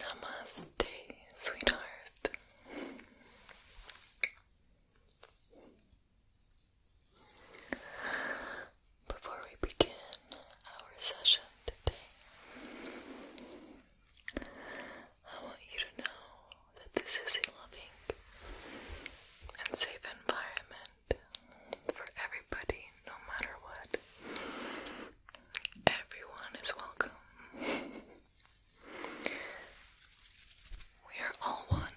Namaste, sweetheart. Before we begin our session today, I want you to know that this is a loving and safe environment for everybody, no matter what. Everyone is welcome. We are all one.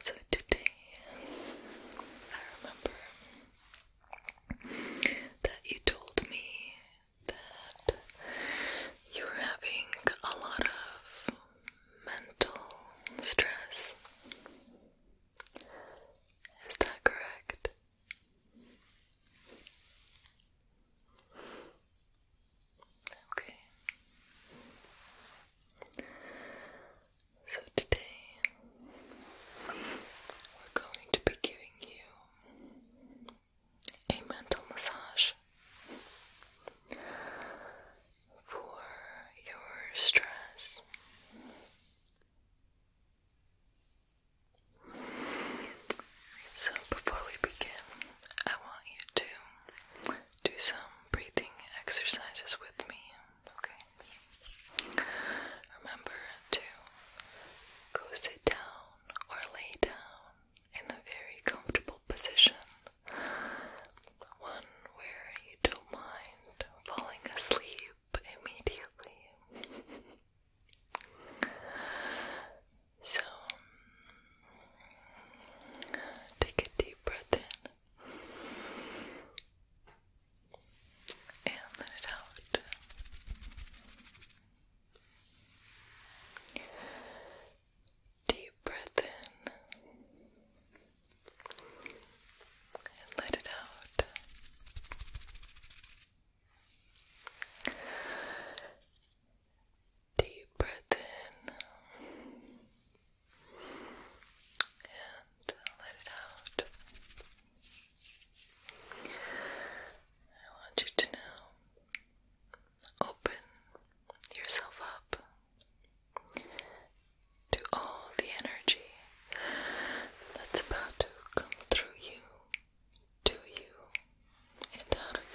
So today, I remember that you told me that you were having a lot of mental stress. Is that correct? Okay. So today we're going to be giving you a mental massage for your stress. So before we begin, I want you to do some breathing exercises with me okay? Remember to go sit down or lay down in a very comfortable position, one where you don't mind falling asleep immediately. So, take a deep breath in and let it out. Deep breath in and let it out. Deep breath in and let it out. I want you to now open yourself up to all the energy that's about to come through you, to you, and out of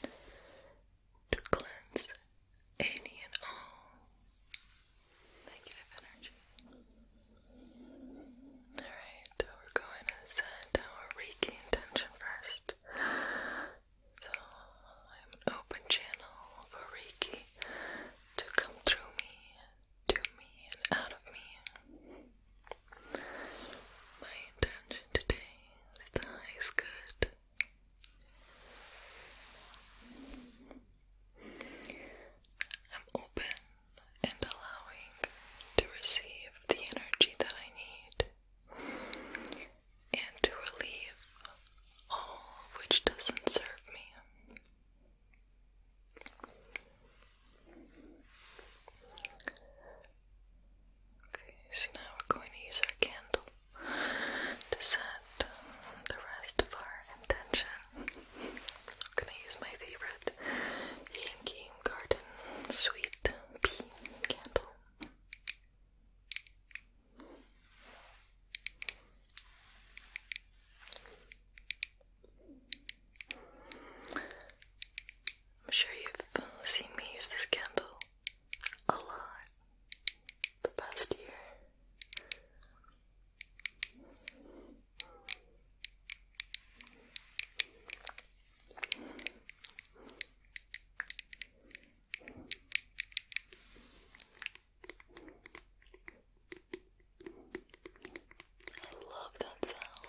you to cleanse any and all negative energy. Alright, we're going to send our Reiki intention first. So I'm open channel for Reiki to come through me, to me, and out of me. My intention today is the highest good I'm open and allowing to receive the energy that I need and to relieve all which doesn't serve me. Okay, so now we're going to use our candle to set the rest of our intention. I'm gonna use my favorite Yankee Garden Sweet Pea candle. I'm sure you've seen me use this candle a lot the past year. I love that sound.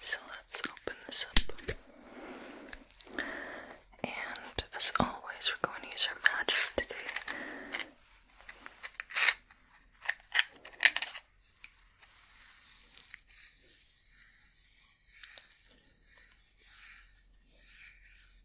So let's open this up. And as always, we're going to use our matches today.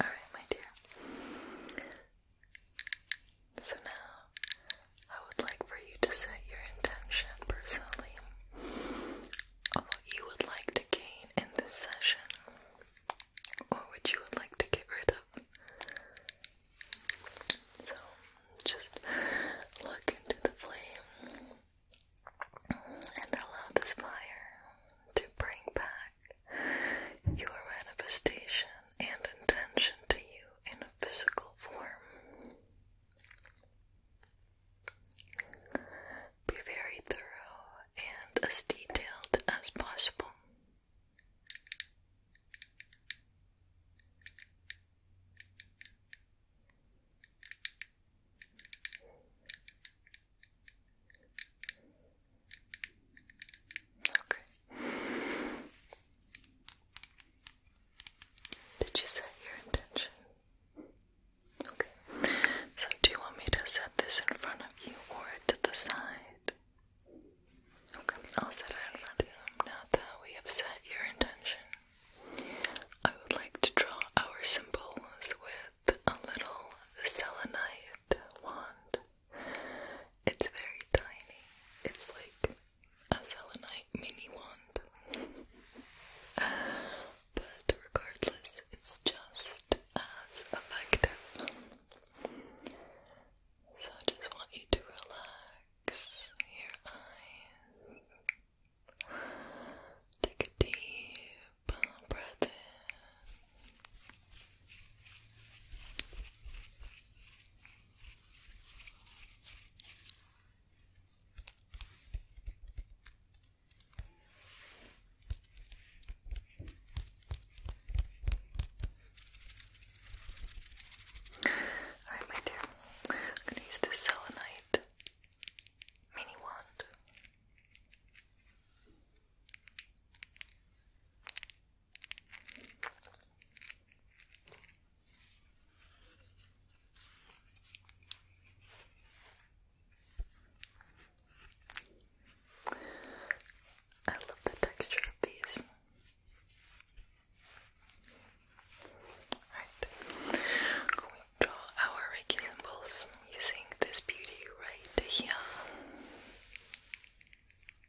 All right, my dear. So now, I would like for you to set your intention personally of what you would like to gain in this session or what you would like to get rid of. So, just look into the flame and allow this fire to bring back your manifestation and intention to you in a physical form. Be very thorough and as detailed as possible. Okay. Did you set your intention? Okay. So, do you want me to set this in front of you or to the side? Okay, I'll set it in front of you. Now that we have set your intention, I would like to draw our symbols with a little selenite wand. It's very tiny. It's like a selenite mini wand. but regardless, it's just as effective. So I just want you to relax your eyes. Take a deep breath in. Alright, my dear, I'm going to use this selenite mini wand. I love the texture of these. Alright, we draw our Reiki symbols using this beauty right here.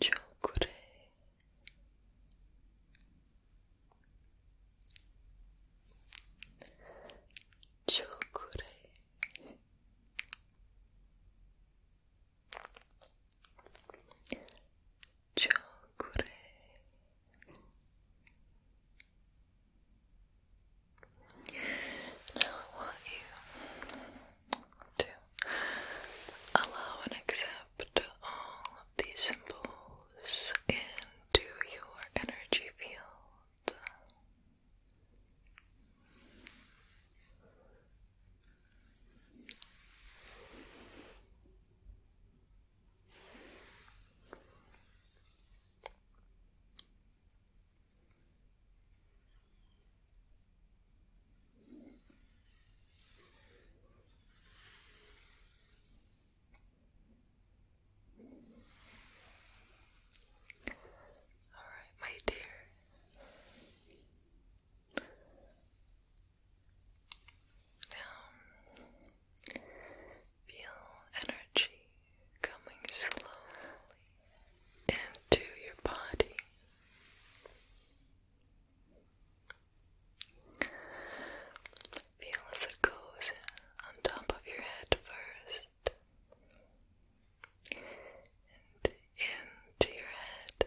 Chokure Chokure Chokure Now I to allow and accept all these symbols into your energy field. All right, my dear. Now feel energy coming slowly into your body. Feel as it goes on top of your head first and into your head.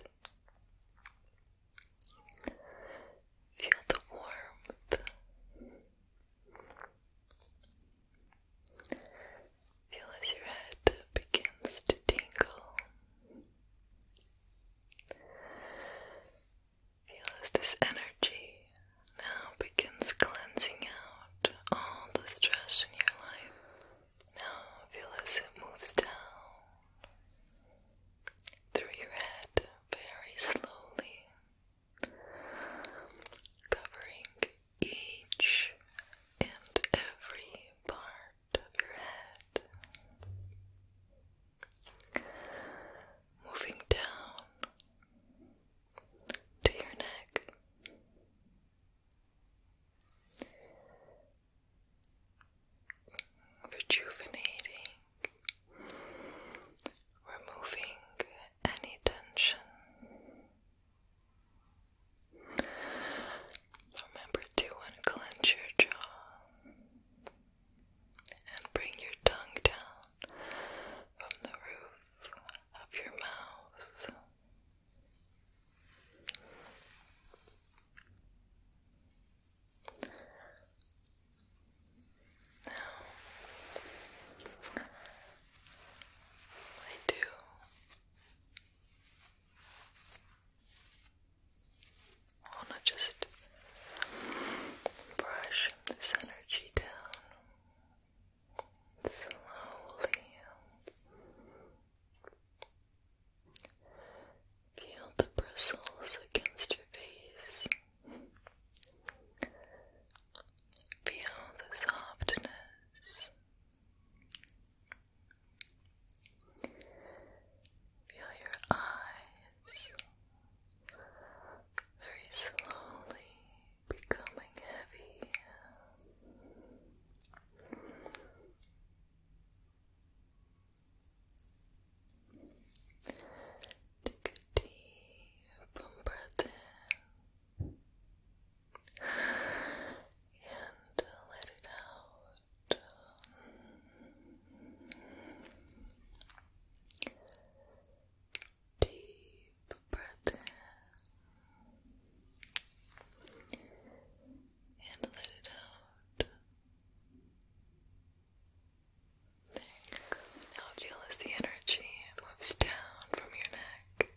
Feel the warmth Feel as your head begins to tingle. Feel as this energy now begins cleansing out all the stress in your life. Now feel as it moves down through your head very slowly, covering each and every part of your head, moving down to your neck. Rejuvenating, removing any tension, Remember to unclench your jaw and bring your tongue down from the roof of your mouth. Now, I do want to just brush this energy down slowly. Feel the bristles against your face. Feel the softness Feel your eyes very slowly becoming heavy. Take a deep breath in and uh, let it out. Deep breath in and let it out. There you go. Now, feel as the energy moves down from your neck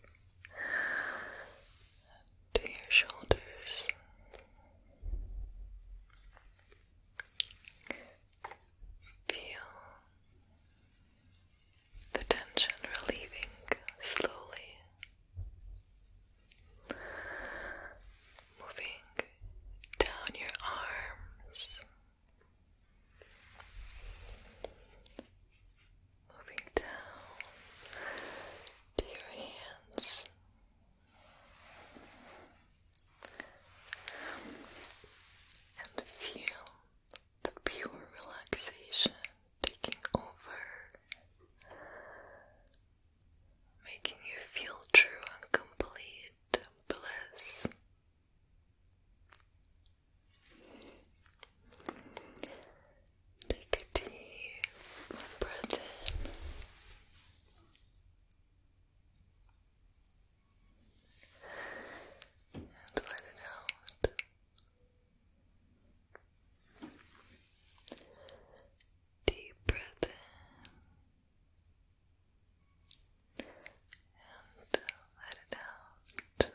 to your shoulders. Feel the tension relieving slowly, moving down your arms, moving down to your hands. And feel the pure relaxation taking over, making you feel true and complete bliss. Take a deep breath in. And let it out. Deep breath in. And let it out.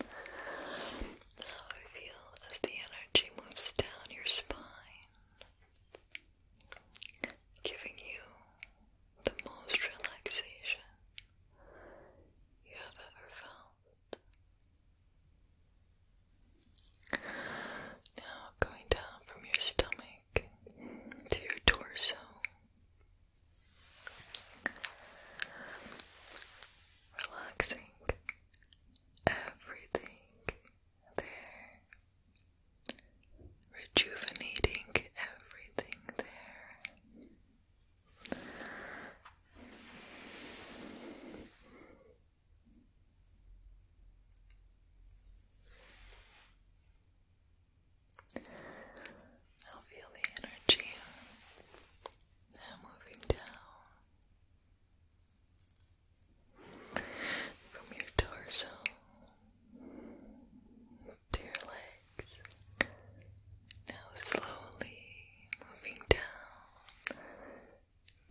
How I feel as the energy moves down your spine, giving you the most relaxation you have ever felt. Now going down from your stomach to your torso relaxing everything there, rejuvenating everything there. Now feel the energy now moving down from your torso to your legs. Now slowly moving down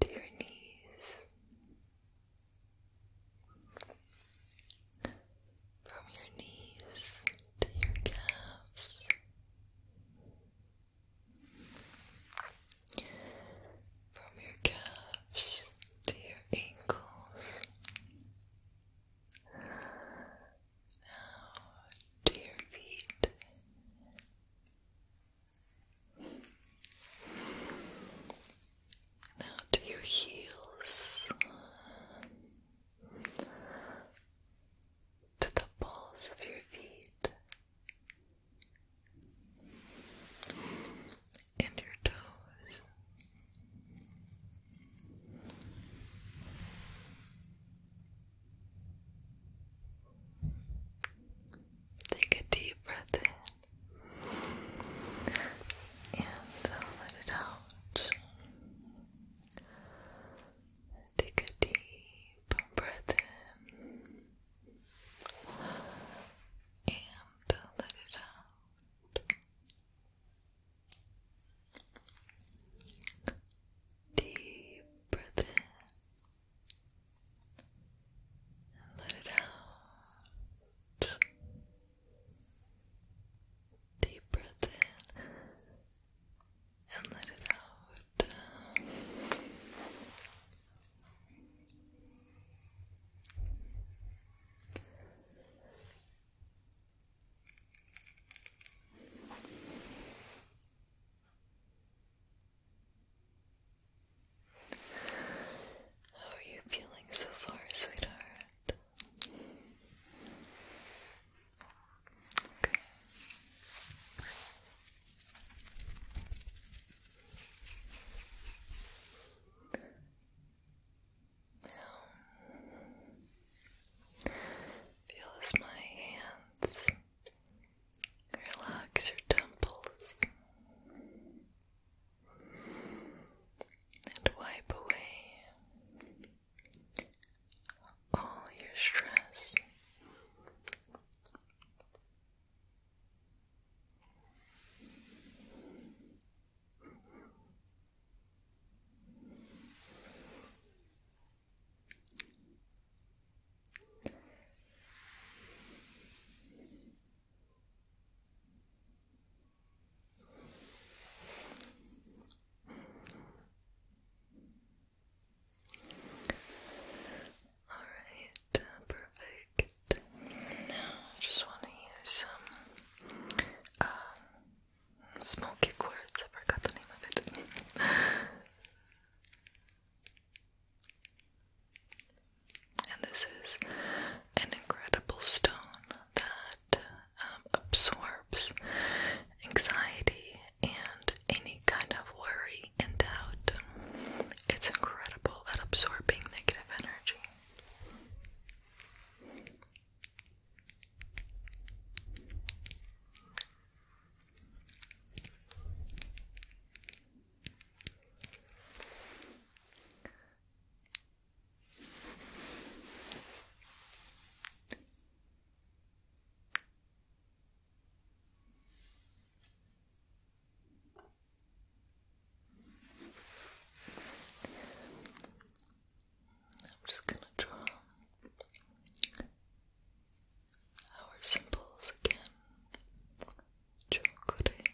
to your knees from your knees to your calves. From your calves to your ankles. Now to your feet. Now to your heels to the balls of your feet and your toes. Take a deep breath in and let it out out. Take a deep breath in and let it out. Deep breath in and let it out. Deep breath in and let it out. How are you feeling so far, sweetheart? feel as my hands relax your temples and wipe away all your stress. Alright, uh, perfect. Now I just want to use some um, smoky quartz. I forgot the name of it. and this is an incredible stone that um, absorbs anxiety and any kind of worry and doubt. It's incredible at absorbing negative energy. I'm just going to draw our symbols again. Chokure,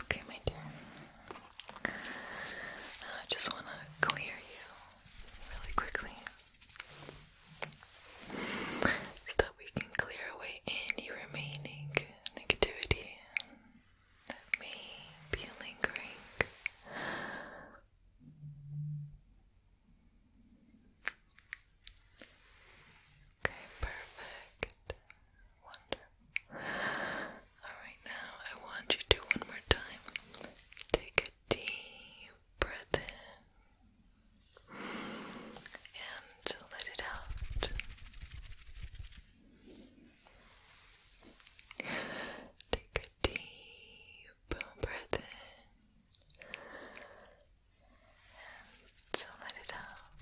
Okay, my dear. I just want to clear you really quickly so that we can clear away any remaining negativity that may be lingering Okay, perfect. Wonderful. Alright, now I want you to one more time take a deep breath in and let it out. Take deep breath in and let it out.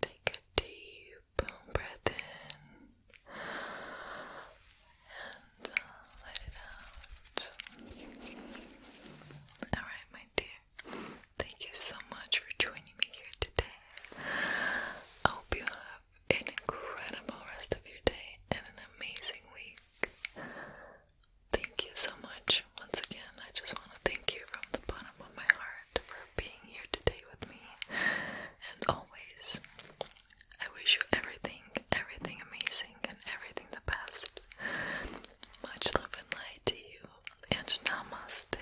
Take a deep breath in and uh, let it out. Alright, my dear. Thank you so much for joining me here today. I hope you have an incredible rest of your day and an amazing week. Thank you so much once again. I just want to thank you from the bottom of my heart for being here today with me. And always, I wish you everything, everything amazing, and everything the best. Much love and light to you, and namaste.